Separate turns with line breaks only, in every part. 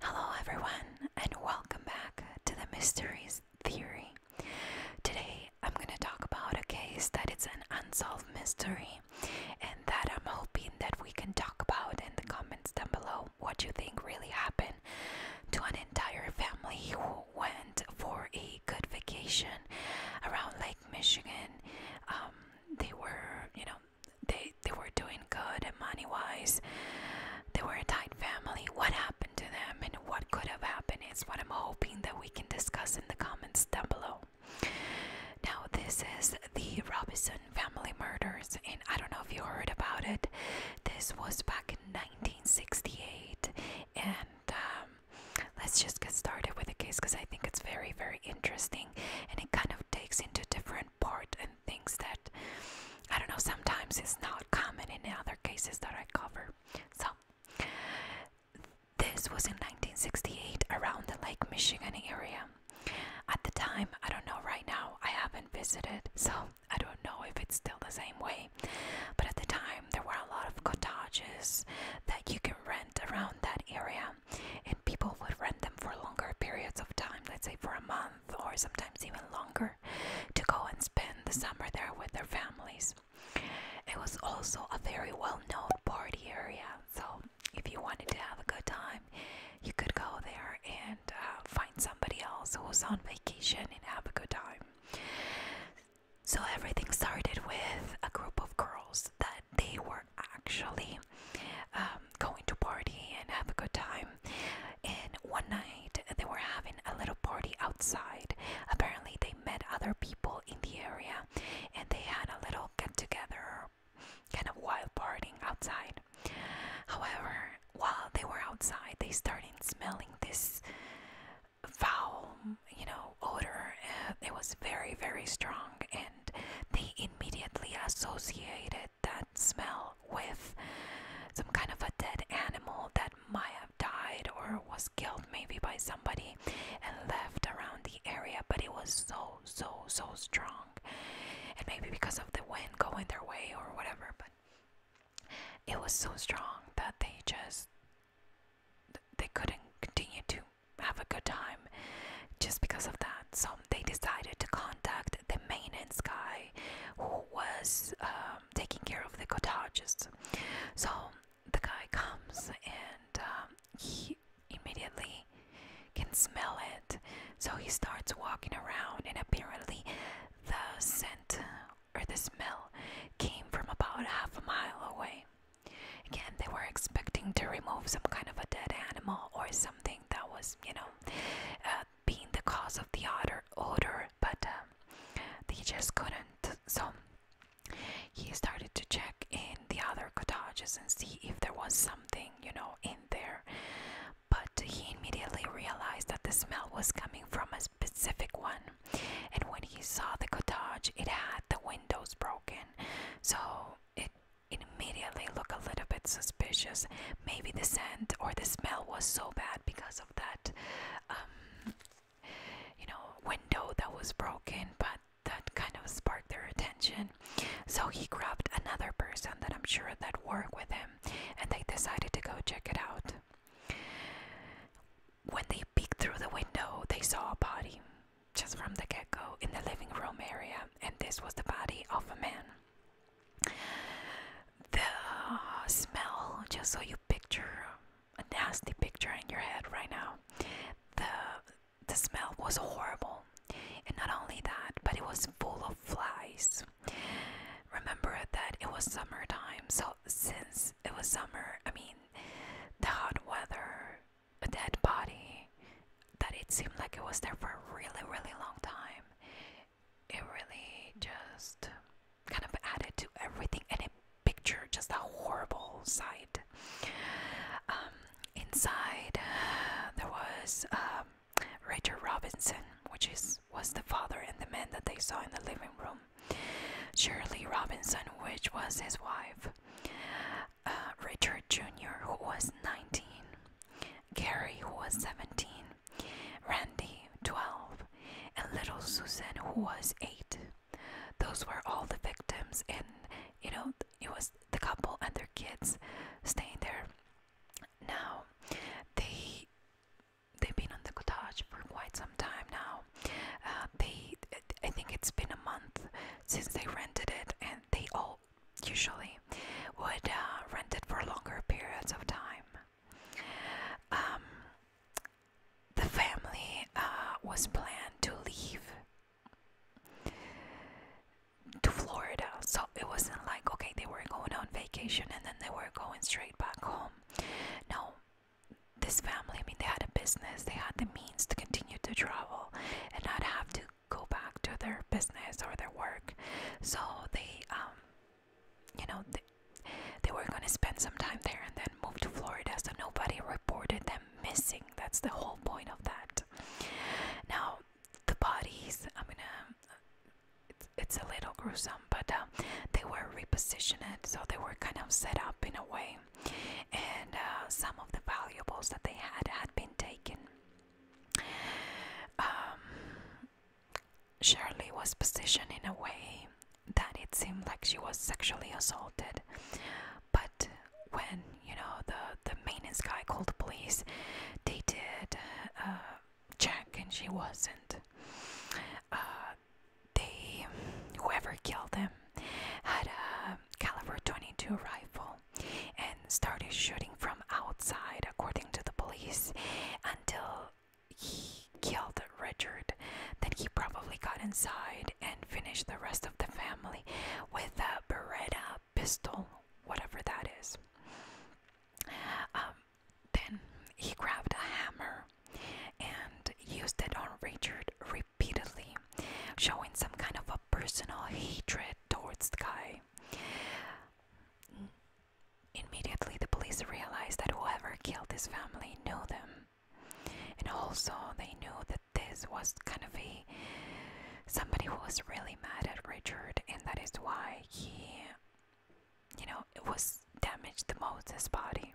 Hello, everyone, and welcome back to the Mysteries Theory. Today I'm gonna talk about a case that it's an unsolved mystery, and that I'm hoping that we can talk about in the comments down below what do you think really happened to an entire family who went for a good vacation around Lake Michigan. Um, they were, you know, they they were doing good money wise. They were a tight family. What happened to them and what could have happened is what I'm hoping that we can discuss in the comments down below. Now, this is the Robinson family murders, and I don't know if you heard about it. This was back in 1968, and um, let's just get started with the case because I think it's very, very interesting and it kind of takes into different part and things that I don't know, sometimes it's not common in other cases that I cover. So, this was in 1968 around the Lake Michigan area. At the time, I don't know right now, I haven't visited, so I don't know if it's still the same way. But at the time, there were a lot of cottages that you can rent around that area, and people would rent them for longer periods of time, let's say for a month or sometimes even longer, to go and spend the summer there with their families. It was also a very well known party area, so if you wanted to have a good time, you could go there and uh, find somebody else who was on vacation and have a good time. So everything started with a group of girls that they were actually um, going to party and have a good time. And one night they were having a little party outside. Apparently, they met other people in the area and they had a little get together, kind of wild partying outside. However, while they were outside, they started smelling this foul, you know, odor. It was very, very strong, and they immediately associated that smell with some kind of a dead animal that might have died or was killed maybe by somebody and left around the area but it was so so so strong and maybe because of the wind going their way or whatever but it was so strong that they just they couldn't continue to have a good time just because of that so they decided to contact the maintenance guy who was um, taking care of the cottages so the guy comes and um, he immediately can smell it. So he starts walking around, and apparently, the scent or the smell came from about half a mile away. Again, they were expecting to remove some kind of a dead animal or something that was, you know, uh, being the cause of the odor, odor but um, they just couldn't. So he started to check in the other cottages and see if there was something, you know, in there. But he immediately realized that the smell was coming from a specific one. And when he saw the cottage, it had the windows broken. So it immediately looked a little bit suspicious. Maybe the scent or the smell was so bad because of that. Um, you know, window that was broken, but that kind of sparked their attention. So he grabbed another person that I'm sure that worked with him and they decided to go check it out. When they peeked through the window, they saw a body just from the get go in the living room area, and this was the body of a man. The uh, smell, just so you picture a nasty picture in your head right now, the the smell was horrible. And not only that, but it was full of flies. Remember that it was summertime, so since it was summer, I mean, the hot weather, a dead body, that it seemed like it was there for a really, really long time. It really just kind of added to everything and it picture just a horrible sight. Um, inside there was um, Richard Robinson, which is was the father and the man that they saw in the living room. Shirley Robinson, which was his wife. Uh, Richard Jr., who was 19. Gary, who was 17. Randy, 12. And little Susan, who was 8. Those were all the victims, and you know, it was the couple and their kids staying there. Now, they they've been on the cottage for quite some time now. Uh, they, I think it's been a month since they rented it, and they all usually would uh, rent it for longer periods of time. Um, the family uh, was planned to leave to Florida. So it wasn't like, okay, they were going on vacation and then they were going straight back home. No, this family, I mean, they had a business, they had the means to continue to travel and not have to go back to their business or their work. So they, um, you know, they, they were going to spend some time there and then move to Florida. So nobody reported missing. That's the whole point of that. Now, the bodies, I mean, uh, it's, it's a little gruesome, but uh, they were repositioned, so they were kind of set up in a way. And uh, some of the valuables that they had had been taken. Um, Shirley was positioned in a way that it seemed like she was sexually assaulted, but when you know the the maintenance guy called the police, they did uh, check and she wasn't. Uh, they whoever killed him had a caliber 22 rifle and started shooting from outside, according to the police, until he killed Richard. Then he probably got inside and finished the rest of the family with a Beretta pistol, whatever that is. Um, then he grabbed a hammer and used it on Richard repeatedly, showing some kind of a personal hatred towards the guy. Immediately, the police realized that whoever killed this family knew them, and also they knew that this was kind of a somebody who was really mad at Richard, and that is why he, you know, it was damaged the most his body.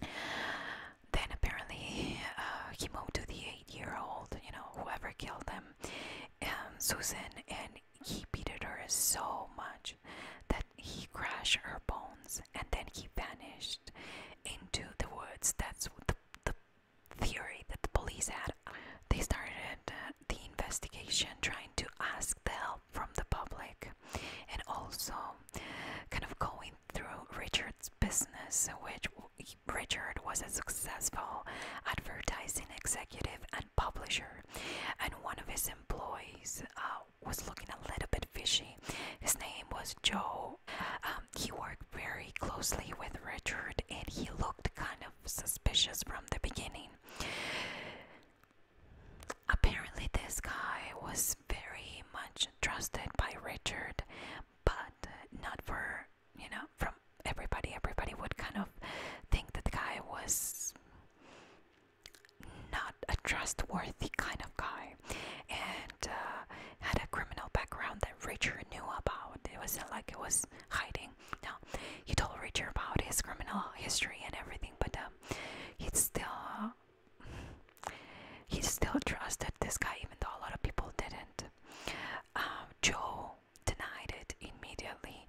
Then apparently uh, he moved to the eight-year-old, you know, whoever killed him, um, Susan, and he beat her so much that he crashed her bones, and then he vanished into the woods. That's the the theory that the police had. They started uh, the investigation trying to ask the help from the public and also kind of going through Richard's business, which Richard was a successful advertising executive and publisher, and one of his employees uh, was looking a little bit fishy. His name was Joe. Uh, he worked very closely with Richard and he looked kind of suspicious from the beginning. Apparently, this guy was very much trusted by Richard, but not for you know, from everybody. Everybody would kind of think that the guy was not a trustworthy kind of guy and uh, had a criminal background that Richard knew about. It wasn't like it was hiding. No, he told Richard about his criminal history and everything, but um, he still he still trusted this guy, even though a lot of people didn't. Um, Joe denied it immediately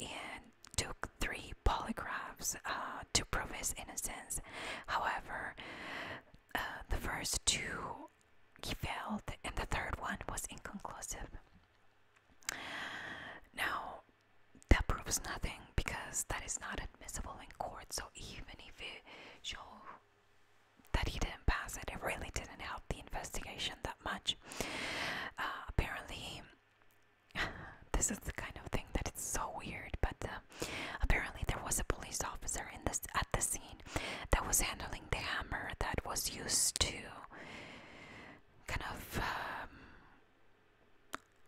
and took three polygraphs uh, to prove his innocence. However, uh, the first two he failed, and the third one was inconclusive. Now, that proves nothing because that is not admissible in court, so even if it shows that he didn't pass it, it really didn't help the investigation that much. Uh, apparently, this is the kind of thing that so weird, but uh, apparently there was a police officer in this at the scene that was handling the hammer that was used to kind of um,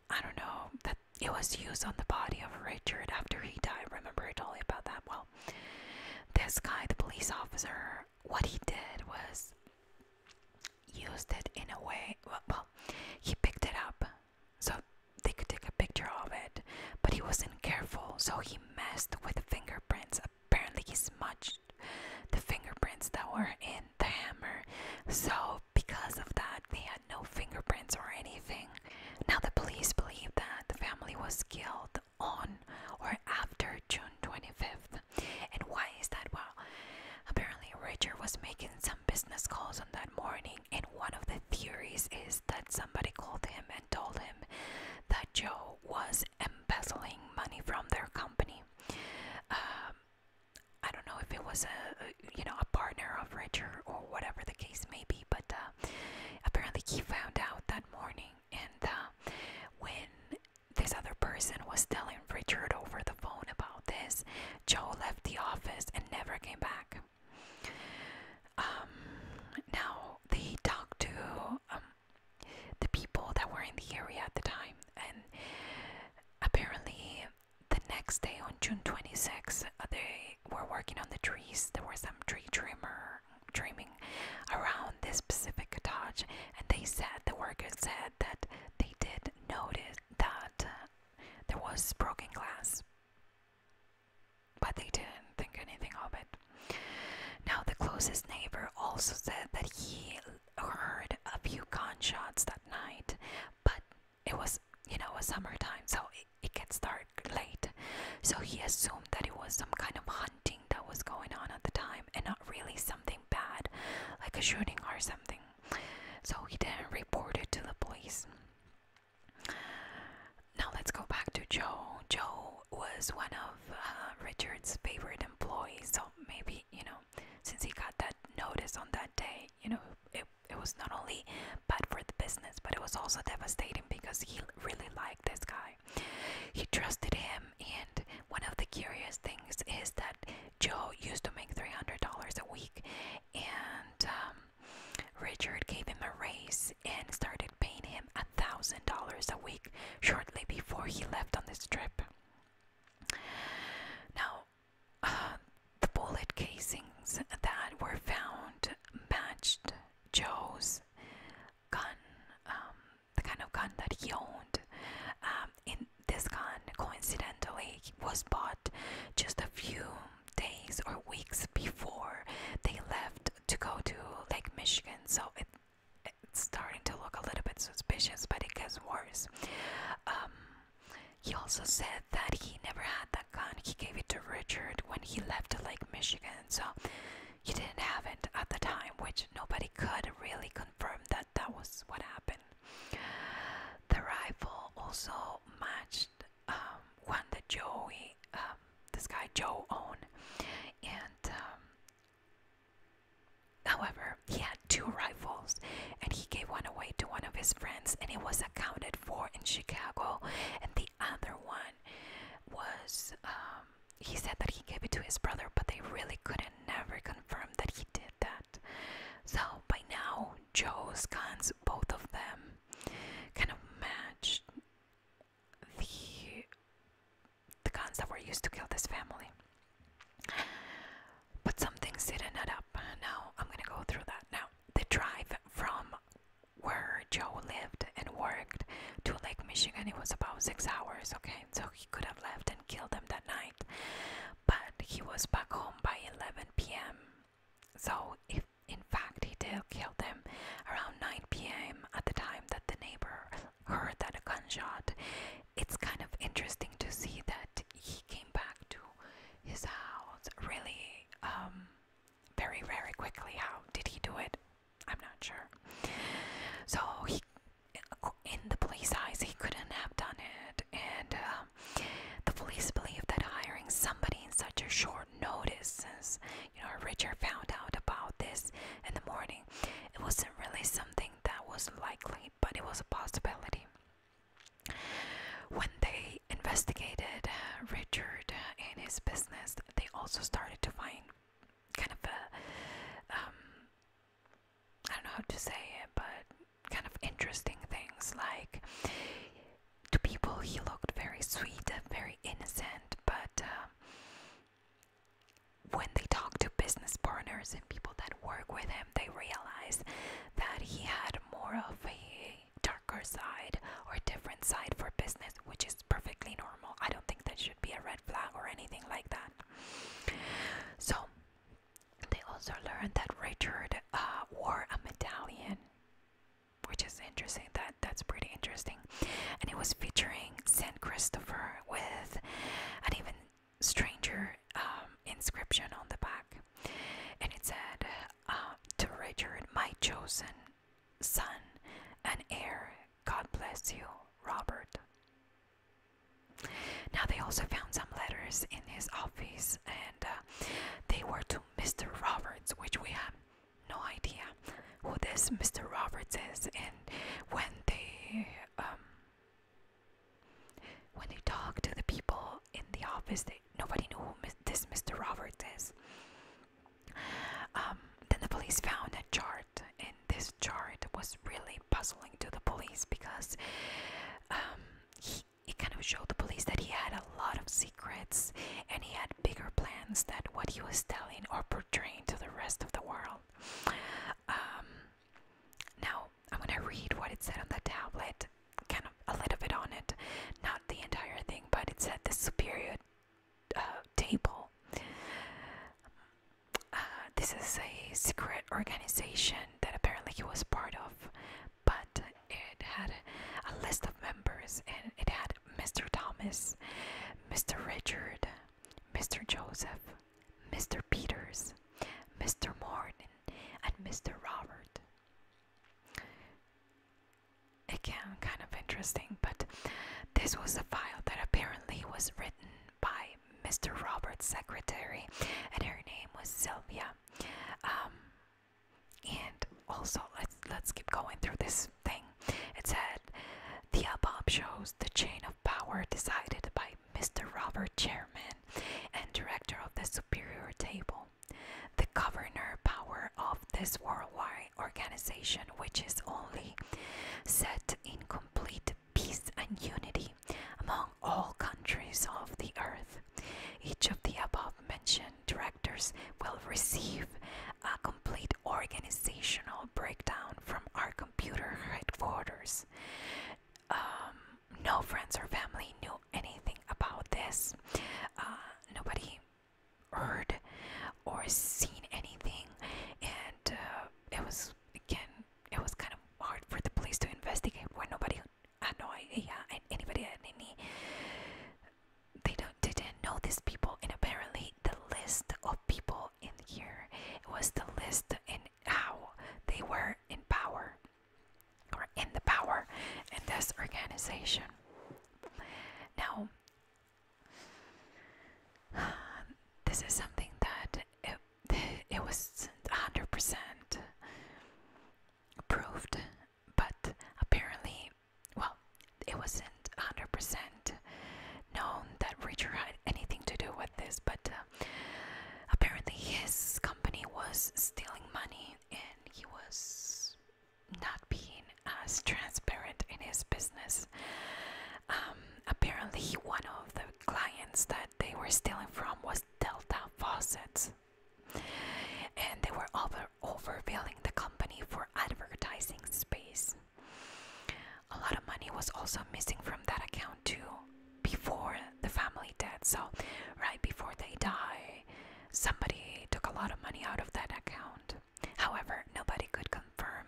I don't know that it was used on the body of Richard after he died. Remember I told you about that? Well, this guy, the police officer, what he did was used it in a way. well he picked it up so they could take a picture of it, but he wasn't careful, so he messed with the fingerprints. Apparently, he smudged the fingerprints that were in the hammer. So, because of that, they had no fingerprints or anything. Now, the police believe that the family was killed on or after June 25th. And why is that? Well, apparently, Richard was making some business calls on that morning, and one of the theories is that somebody called him and told him that Joe was embezzling money from their company. Um, I don't know if it was a you know a partner of Richard or whatever the case may be, but uh, apparently he found out that morning, and uh, when this other person was telling Richard over the phone about this, Joe left the office and never came back. Um, now they talked to um, the people that were in the area at the time, and apparently the next day on June 26th, uh, they were working on the trees. There was some tree trimmer trimming around this specific cottage, and they said the workers said that they did notice that there was broken glass but they didn't think anything of it. Now, the closest neighbor also said that he heard a few gunshots that night, but it was, you know, a summertime, so it, gets dark late. So he assumed that it was some kind of hunting that was going on at the time and not really something bad, like a shooting or something. So he didn't report it to the police. Now let's go back to Joe. Joe was one of uh, Richard's favorite employees, so maybe, you know, since he got that notice on that day, you know, it, it was not only bad for the business, but it was also devastating because he really liked this guy. He trusted him, and one of the curious things is that Joe used to make $300 a week, and um, Richard gave him a raise and started paying him thousand dollars a week shortly before he left on this trip. Now, uh, the bullet casings that were found matched Joe's gun, um, the kind of gun that he owned. Um, in this gun, coincidentally, was bought just a few days or weeks before they left to go to Lake Michigan, so it's starting to look a little bit suspicious, but it gets worse. Um, he also said that he never had that gun. He gave it to Richard when he left Lake Michigan, so he didn't have it at the time, which nobody could really confirm that that was what happened. The rifle also matched when um, the Joey um, this guy Joe own, and um, however he had two rifles, and he gave one away to one of his friends, and it was accounted for in Chicago, and the other one was um, he said that he gave it to his brother, but they really couldn't never confirm that he did that. So by now Joe's guns, both of them, kind of matched the the guns that were used to kill this family. But some things didn't add up. Now I'm gonna go through that. Now the drive from where Joe lived and worked to Lake Michigan, it was about six hours. Okay, so he could have left and killed them that night, but he was back home by 11 p.m. So if in fact he did kill them around 9 p.m., at the time that the neighbor heard that a gunshot, it's kind of interesting to see that he came back to his house really um, very, very quickly. How did he do it? I'm not sure. So he, in the police eyes, he couldn't have done it, and um, the police believe that hiring somebody in such a short notice, since you know Richard found out about this in the morning. It wasn't really something that was likely, but it was a possibility. When they investigated Richard and his business, they also started to find kind of um, I don't know how to say it, but kind of interesting things like to people he looked very sweet and very innocent, but uh, when they talk to business partners and people that work with him, they realize that he had more of a darker side or different side for business, which is perfectly normal. I don't think that should be a red flag or anything like that. So, they also learned that Richard uh, wore a medallion, which is interesting. That that's pretty interesting and it was featuring Saint Christopher with an even stranger um, inscription on the back, and it said uh, to Richard, my chosen son and heir. God bless you, Robert. Now they also found some letters in his office, and uh, they were to Mr. Roberts, which we have no idea who this Mr. Roberts is, and when they um, when they talk to the people in the office, nobody knew who this Mr. Roberts is. Um, then the police found a chart, and this chart was really puzzling to the police because um, he, it kind of showed the police that he had a lot of secrets and he had bigger plans that what he was telling or portraying to the rest of the world. Um, now, I'm gonna read what it said on the tablet, kind of a little bit on it, not the entire thing, but it said the superior uh, table. Uh, this is a secret organization that apparently he was part of, but it had a list of members and it had Mr. Thomas, Mr. Richard, Mr. Joseph, Mr. Peters, Mr. Morton, and Mr. Robert. Again, kind of interesting, but this was a file that apparently was written by Mr. Robert's secretary, and her name was Sylvia. Um, and also, let's let's keep going through this it said the above shows the chain of power decided by Mr. Robert Chairman and Director of the Superior Table. The governor power of this worldwide organization, which is only set in complete peace and unity among all countries of the earth. Each of the above mentioned directors will receive a complete organizational breakdown from our computer headquarters. Um, no friends or family knew anything about this. Uh, nobody heard or seen anything, and uh, it was again, it was kind of hard for the police to investigate when nobody had no idea, and anybody had any. They don't didn't know these people, and apparently the list of people in here. It was the list in how they were in power or in the power in this organization. Now, this is something that it, it wasn't 100% proved, but apparently, well, it wasn't 100% known that Richard had anything to do with this, but uh, apparently his company was stealing money and he was not being as transparent in his business. Um, apparently, one of the clients that they were stealing from was Delta Faucets, and they were over overbilling the company for advertising space a lot of money was also missing from that account too before the family death so right before they die somebody took a lot of money out of that account however nobody could confirm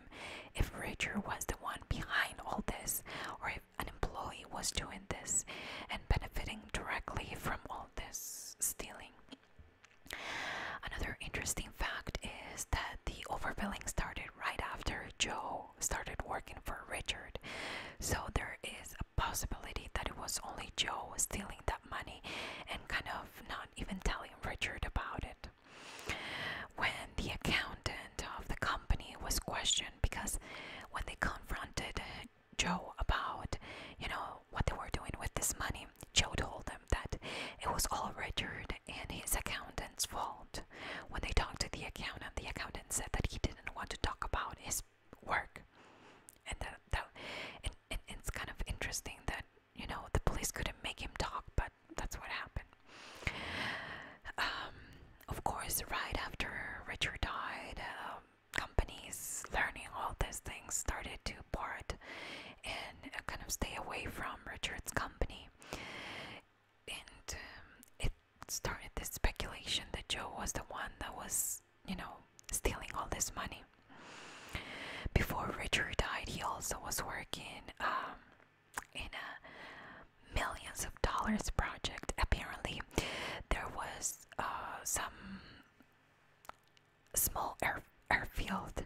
if richard was the one behind all this or if an employee was doing this and benefiting directly from all this stealing Another interesting fact is that the overbilling started right after Joe started working for Richard. So there is a possibility that it was only Joe stealing that money and kind of not even telling Richard about it. When the accountant of the company was questioned, because when they confronted Joe about, you know, what they were doing with this money, Joe told them that it was all Richard and his accountant's fault. When they talked to the accountant, the accountant said that he didn't want to talk about his work. And that, that it's kind of interesting that, you know, the police couldn't make him talk, but that's what happened. Um, of course, right after Richard died, um, companies learning all these things started to part and uh, kind of stay away from Richard's company and um, it started this speculation that Joe was the one that was, you know, stealing all this money. Before Richard died, he also was working um, in a millions of dollars project. Apparently, there was uh, some small air airfield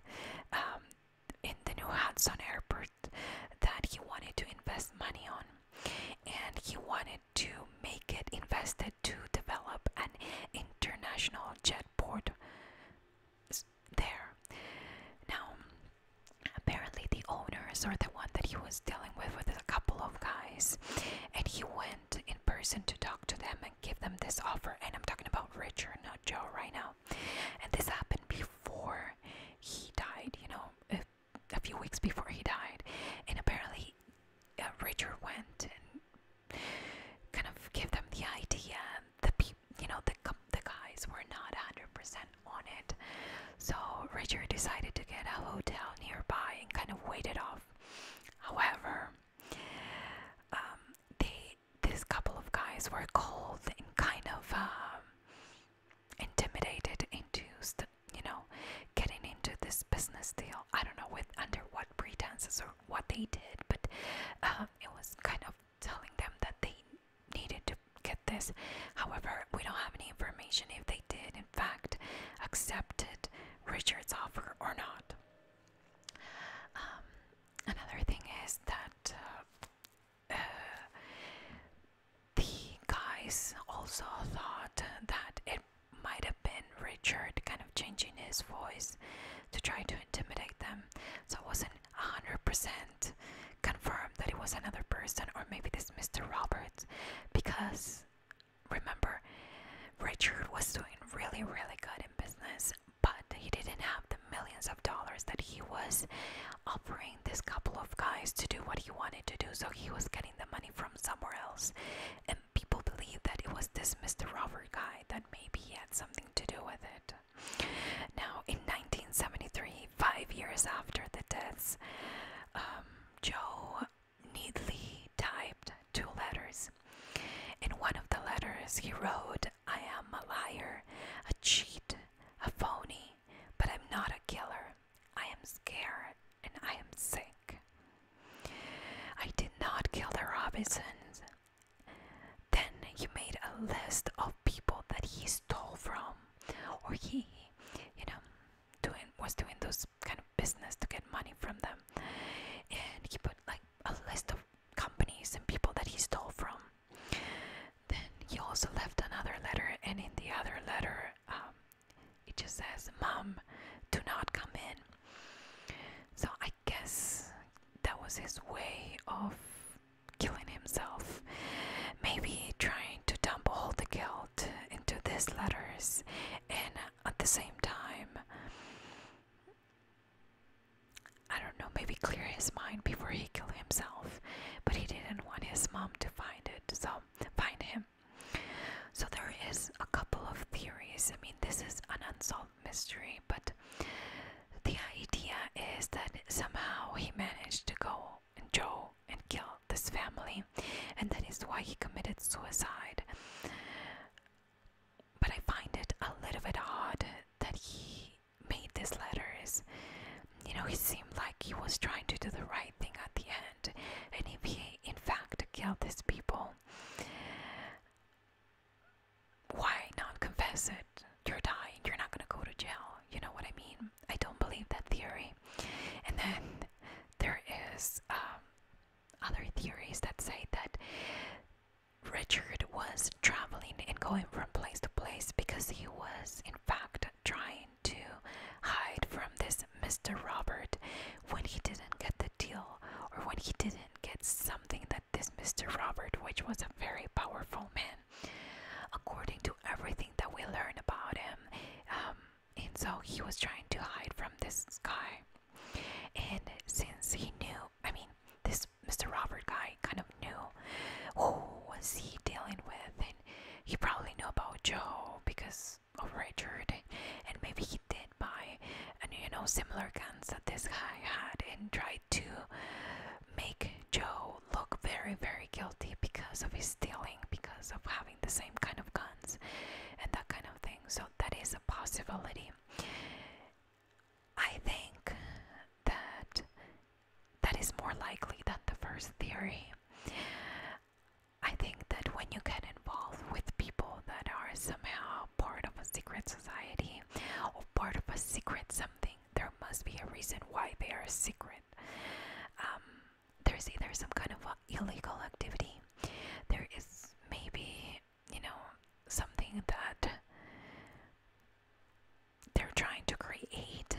um, in the New Hudson Airport that he wanted to invest money on and he wanted to make it invested to develop an international jet port there. Now, apparently, the owners are the one that he was dealing with with a couple of guys, and he went in person to talk to them and give them this offer. And I'm talking about Richard, not Joe, right now. And this happened before he died, you know, a, few weeks before he died. And apparently, uh, Richard went and kind of gave them the idea that people, you know, the, the guys were not 100% on it. So Richard decided to get a hotel nearby and kind of waited off. However, um, they these couple of guys were cold and kind of um, intimidated into, you know, getting into this business deal. I don't know with under what pretenses or what they did, but um, it was kind of telling them that they needed to get this. However, we don't have any information if they did, in fact, accepted Richard's offer or not. Um, another thing is that uh, the guys also thought that it might have been Richard kind of changing his voice to try to intimidate them. So it wasn't 100% confirmed that it was another person or maybe this Mr. Roberts because remember, Richard was doing really, really good in business but he didn't have the millions of dollars that he was offering this couple of guys to do what he wanted to do, so he was getting the money from somewhere else. And people believe that it was this Mr. Robert guy that maybe he had something to do with it. Now, in 1973, five years after the deaths, um, Joe neatly typed two letters. In one of the letters, he wrote, I am a liar, a cheat, a phony, but I'm not a killer. I am scared and I am sick. I did not kill the Robinsons. Then he made a list of people that he stole from, or he, you know, doing was doing those kind of business to get money from them, and he put like a list of companies and people that he stole from, then he also left another letter, and in the other letter, um, it just says, Mom, do not come in. So I guess that was his way of killing himself. Maybe trying to dump all the guilt into these letters, and at the same time, I don't know, maybe clear his mind before he killed himself. But he didn't want his mom to find it, so find him. So there is a couple of theories. I mean, this is an unsolved mystery, but the idea is that somehow he managed to go and Joe and kill this family, and that is why he committed suicide. But I find it a little bit odd that he made these letters, you know, he seemed like he was trying to do the right thing at the end. And if he, in fact, killed these people, why not confess it? You're dying, you're not gonna go to jail. You know what I mean? I don't believe that theory. And then there is um, other theories that say that Richard was traveling and going from place to place because he was, in fact, trying to hide from this Mr. Robert when he didn't get the deal or when he didn't get something that this Mr. Robert, which was a very powerful man, according to everything that we learn about him. Um, and so he was trying to hide from this guy. And since he knew, I mean, this Mr. Robert guy kind of knew who was he dealing with, and he probably knew about Joe because of Richard, and maybe he did buy, and you know, similar guns that this guy had, and tried to make Joe look very, very guilty because of his dealing, because of having the same kind of guns, and that kind of thing. So that is a possibility. I think that that is more likely than the first theory. I think that when you get involved with people that are somehow part of a secret society or part of a secret something, there must be a reason why they are secret. Um, there's either some kind of illegal activity, there is maybe, you know, something that they're trying to create,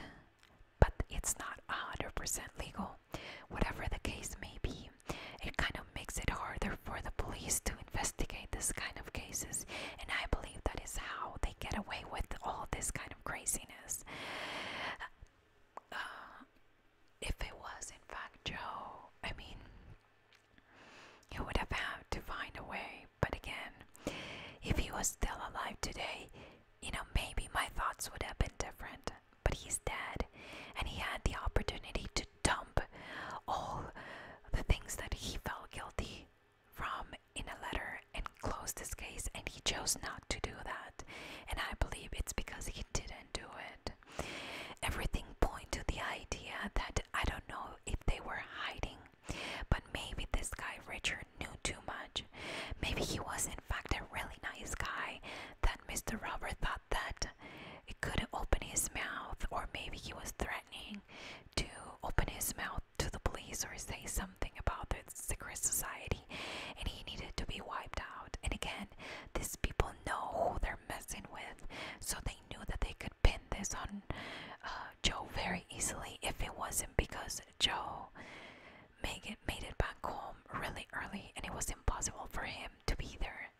but it's not 100% legal. Whatever the case may be, it kind of makes it harder for the police to investigate this kind of cases, and I believe that is how they get away with all this kind of craziness. Uh, if it was, in fact, Joe, I mean, you would have had to find a way but again, if he was still alive today, you know, maybe my thoughts would have been different. But he's dead, and he had the opportunity to dump all the things that he felt guilty from in a letter and close this case, and he chose not to do that. And I believe it's because he didn't do it. Everything point to the idea that I don't know if they were hiding but maybe this guy Richard knew too much. Maybe he was, in fact, a really nice guy that Mr. Robert thought that it couldn't open his mouth, or maybe he was threatening to open his mouth to the police or say something about the secret society, and he needed to be wiped out. And again, these people know who they're messing with, so they knew that they could pin this on uh, Joe very easily if it wasn't because Joe made it, made it back home really early, and it was impossible for him to be there.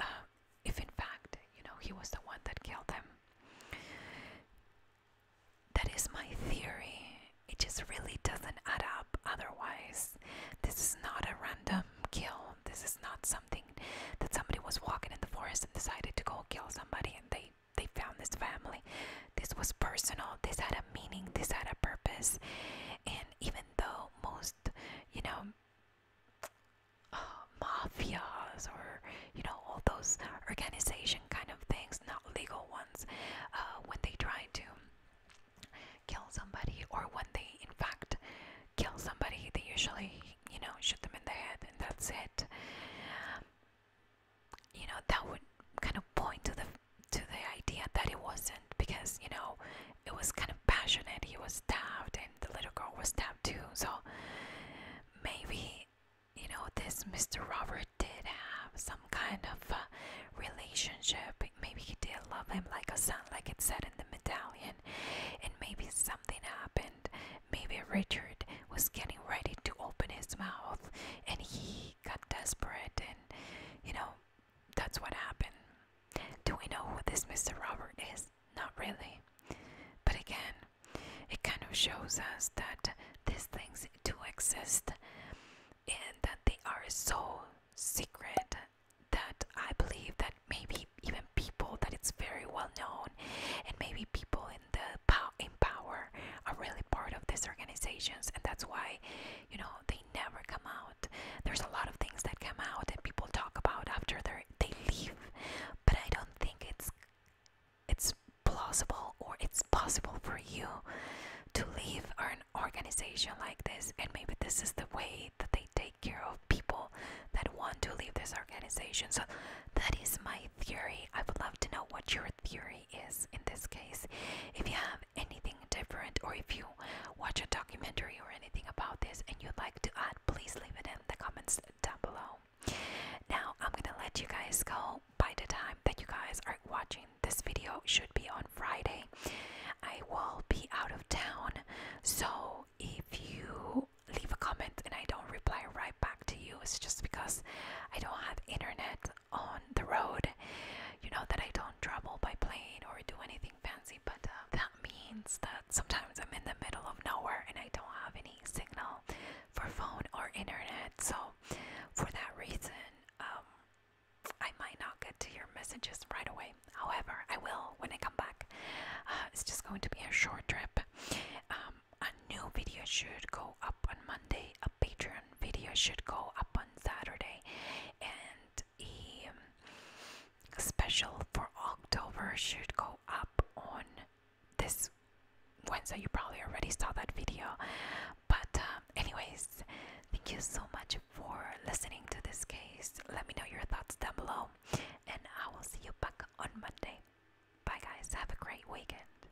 Uh, if in fact, you know, he was the one that killed them. That is my theory. It just really doesn't add up otherwise. This is not a random kill. This is not something that somebody was walking in the forest and decided to go kill somebody and they they found this family. This was personal. This had a meaning. This had a purpose. And even though most, you know, uh, mafias or you know all those organization kind of things, not legal ones, uh, when they try to kill somebody or when they in fact kill somebody, they usually you know shoot them in the head and that's it you know that would kind of point to the to the idea that it wasn't because you know it was kind of passionate he was stabbed and the little girl was stabbed too so maybe you know this mr robert did have some kind of uh, relationship maybe he did love him like a son like it said in the medallion and maybe something happened maybe richard was getting ready to open his mouth and he got desperate and you know that's what happened. Do we know who this Mr. Robert is? Not really. But again, it kind of shows us that these things do exist and that they are so secret that I believe that maybe even people that it's very well known and maybe people in the pow in power are really part of these organizations and that's why you know they never come out there's a lot of things that come out and people talk about after they they leave but i don't think it's it's plausible or it's possible for you to leave an organization like this and maybe this is the way that they take care of people that want to leave this organization so that is my theory i would love to know what your Fury is in this case. If you have anything different or if you watch a documentary or anything about this and you'd like to add, please leave it in the comments down below. Now I'm gonna let you guys go. By the time that you guys are watching this video should be on Friday. I will be out of town. So if you leave a comment and I don't reply right back to you, it's just because I don't have internet on the road. You know that I don't travel by plane or do anything fancy, but uh, that means that sometimes I'm in the middle of nowhere and I don't have any signal for phone or internet. So, for that reason, um, I might not get to your messages right away. However, I will when I come back. Uh, it's just going to be a short trip. Um, a new video should go up on Monday, a Patreon video should go up on Saturday, and a um, special for October should go up on this Wednesday. You probably already saw that video, but um, anyways, thank you so much for listening to this case. Let me know your thoughts down below, and I will see you back on Monday. Bye, guys. Have a great weekend.